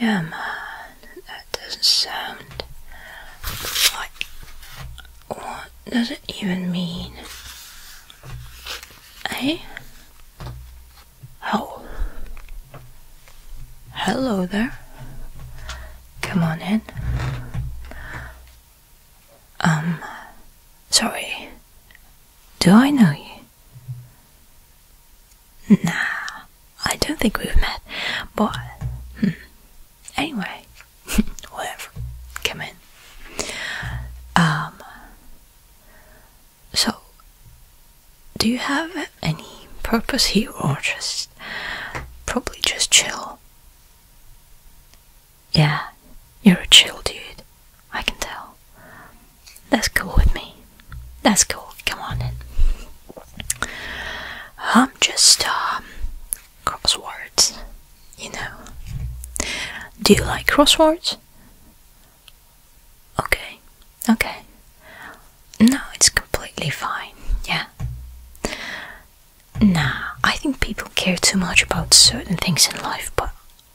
Yeah, man, that doesn't sound like. What does it even mean? Eh? Oh. Hello there. Come on in. Um, sorry. Do I know you? Nah, I don't think we've met, but. Hmm. Anyway, whatever. Come in. Um, so, do you have any purpose here or just probably just chill? Yeah, you're a chill dude, I can tell. That's cool with me. That's cool, come on in. I'm just, um, crosswords, you know. Do you like crosswords? Okay, Okay. No, it's completely fine. Yeah. Nah, I think people care too much about certain things in life, but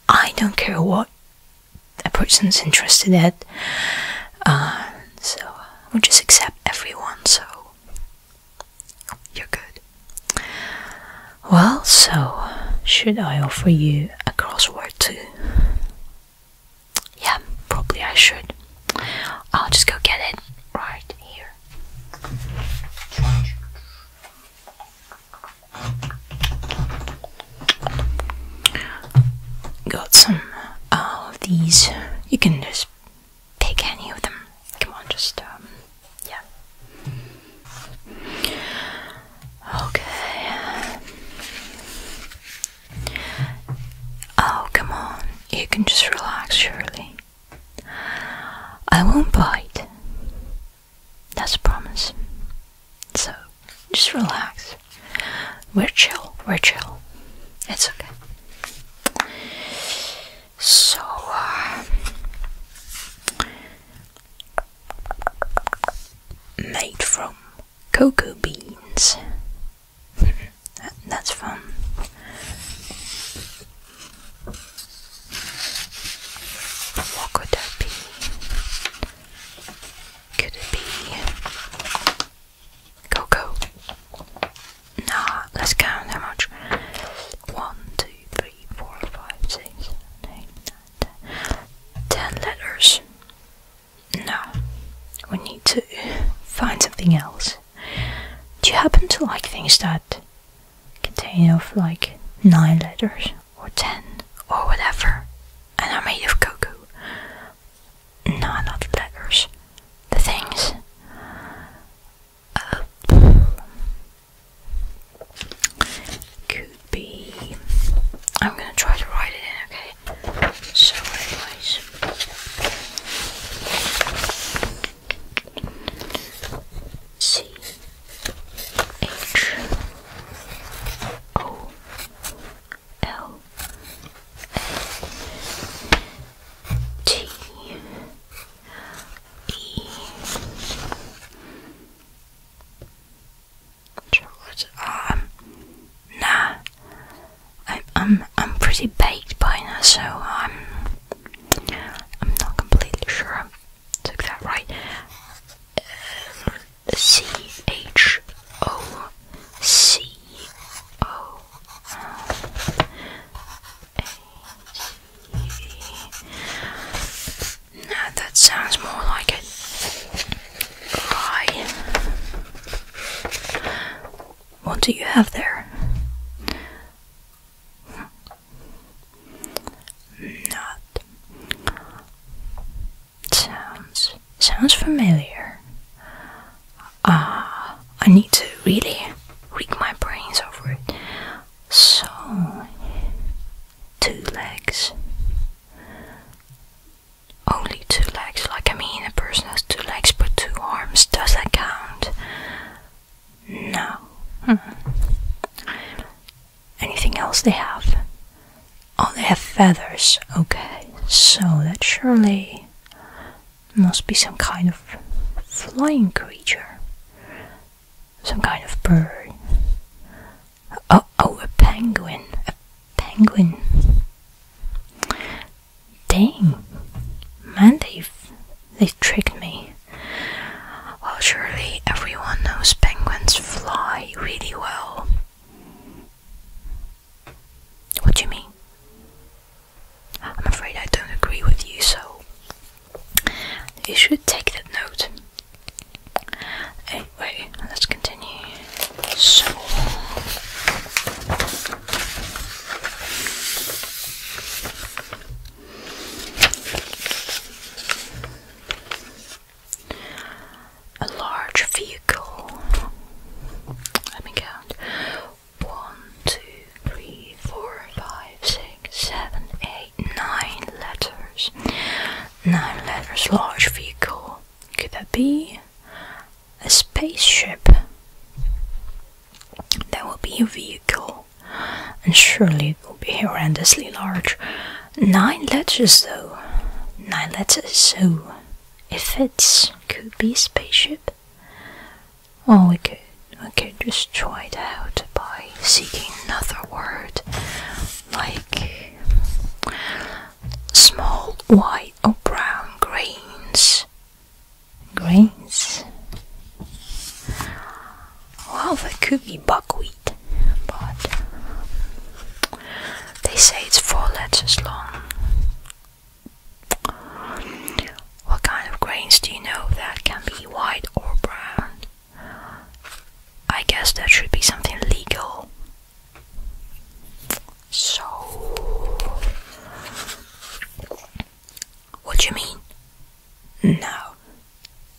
I don't care what a person's interested in. Uh, so we just accept everyone, so you're good. Well, so should I offer you a crossword too? Yeah, probably I should. I'll just go get it right here. Got some uh, of these. You can just pick any of them. Come on, just um, yeah. Okay. Oh, come on, you can just relax, surely. I won't bite. That's a promise. So, just relax. We're chill, we're chill. It's okay. So, uh, made from cocoa beans. that's fun. What could that be? Could it be cocoa? Nah, let's count how much. 1, 10 letters. No, we need to find something else. Do you happen to like things that contain of like nine letters or ten or whatever and are made of cocoa? No, not letters. The things. Uh, be. I'm gonna try to write it in, okay? So, anyways. C H O L A T E Troubled um, Nah, I, I'm I'm pretty baked by now, so I'm um, I'm not completely sure. I took that right. Uh, um, now that sounds more like it. Right. What do you have there? Not. Sounds sounds familiar. Ah, I need to really wig my brains over it. So, two legs, only two legs, like I mean a person has two legs but two arms, does that count? No. Hmm. Anything else they have? Oh, they have feathers. Okay, so that surely must be some kind of flying creature, some kind of bird. Oh, oh, a penguin. A penguin. Dang. Man, they've, they tricked me. Well, surely everyone knows penguins fly really well. What do you mean? I'm afraid I don't agree with you, so you should take that note. Anyway, let's continue. So, a large vehicle. Let me count. One, two, three, four, five, six, seven, eight, nine letters. Nine letters large vehicle. Could that be a spaceship? That will be a vehicle. And surely it will be horrendously large. Nine letters though. Nine letters, so if it Could be a spaceship. Oh, we could, we could just try it out by seeking another word like small white or brown grains. Grains? Well, they could be buckwheat, but they say it's four letters long. What kind of grains do you know that can be white or brown? I guess that should be something legal. So, what do you mean? No,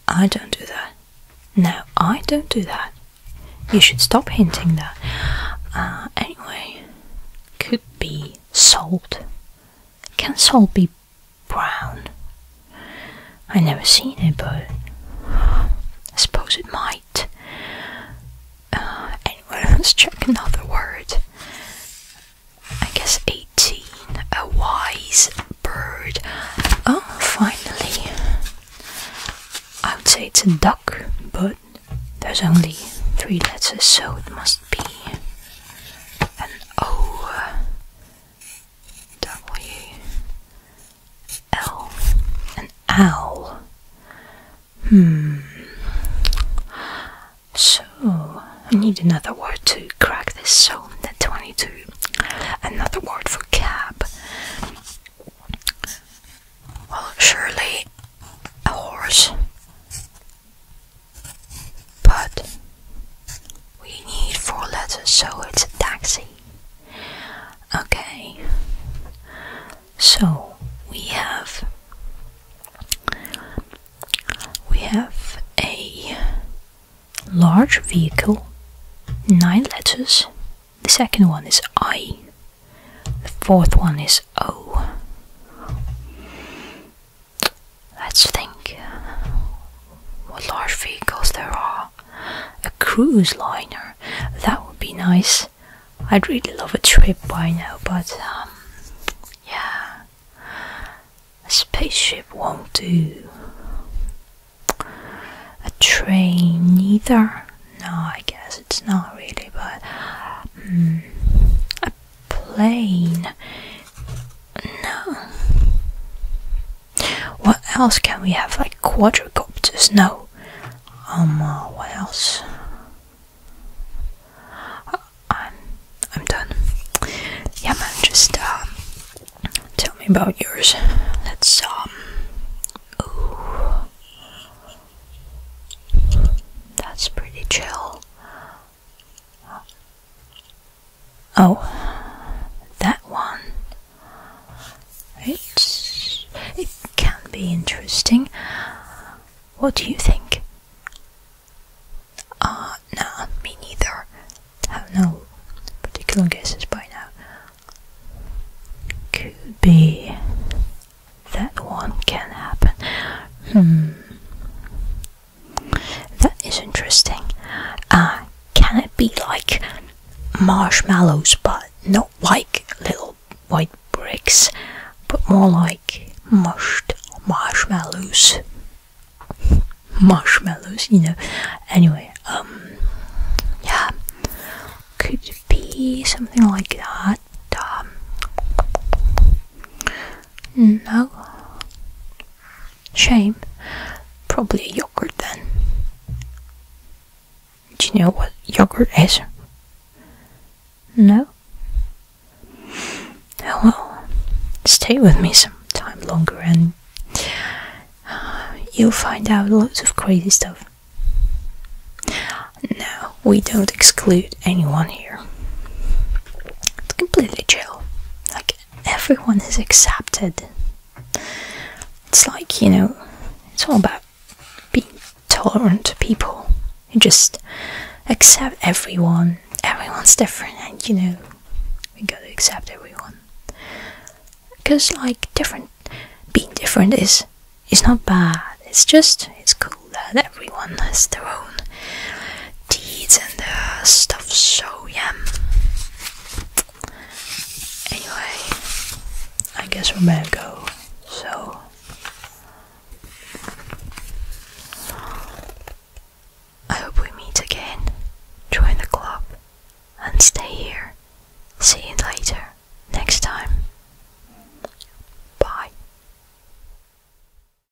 I don't do that. No, I don't do that. You should stop hinting that. Uh, anyway, could be sold. Can sold be brown. I never seen it, but I suppose it might. Uh, anyway, let's check another word. I guess 18. A wise bird. Oh, finally. I would say it's a duck, but there's only three letters, so it must be an O. W L an owl. Hmm. So I need another word to crack this zone at 22. Another word for cab. Well, surely a horse. But we need four letters, so it's a taxi. Okay. So we have we have a large vehicle, nine letters. The second one is I. The fourth one is O. Let's think uh, what large vehicles there are. A cruise liner, that would be nice. I'd really love a trip by now, but um, yeah, a spaceship won't do. A train, neither. No, I guess it's not really, but hmm. a plane. No. What else can we have? Like quadrocopters? No. Um, uh, what else? Uh, I'm, I'm done. Yeah, man, just uh, tell me about yours. Let's, um, ooh. That's pretty chill. Oh, that one. it can be interesting. What do you think? Ah, uh, me neither. Have no particular guesses by now. Could be that one can happen. Hmm. That is interesting. Uh, can it be like marshmallows, but not like little white bricks, but more like mushed marshmallows? marshmallows, you know. Anyway, um, yeah, could be something like that. Um, no, Shame. Probably a yogurt then. Do you know what yogurt is? No? Oh well, stay with me some time longer and uh, you'll find out lots of crazy stuff. No, we don't exclude anyone here. It's completely chill. Like everyone is accepted. It's like, you know, it's all about being tolerant to people. You just accept everyone. Everyone's different, and you know, we gotta accept everyone. Because, like, different, being different is is not bad. It's just it's cool that everyone has their own teeth and the stuff, so yeah. Anyway, I guess we are better go. So. I hope we meet again. Join the club and stay here. See you later. Next time. Bye.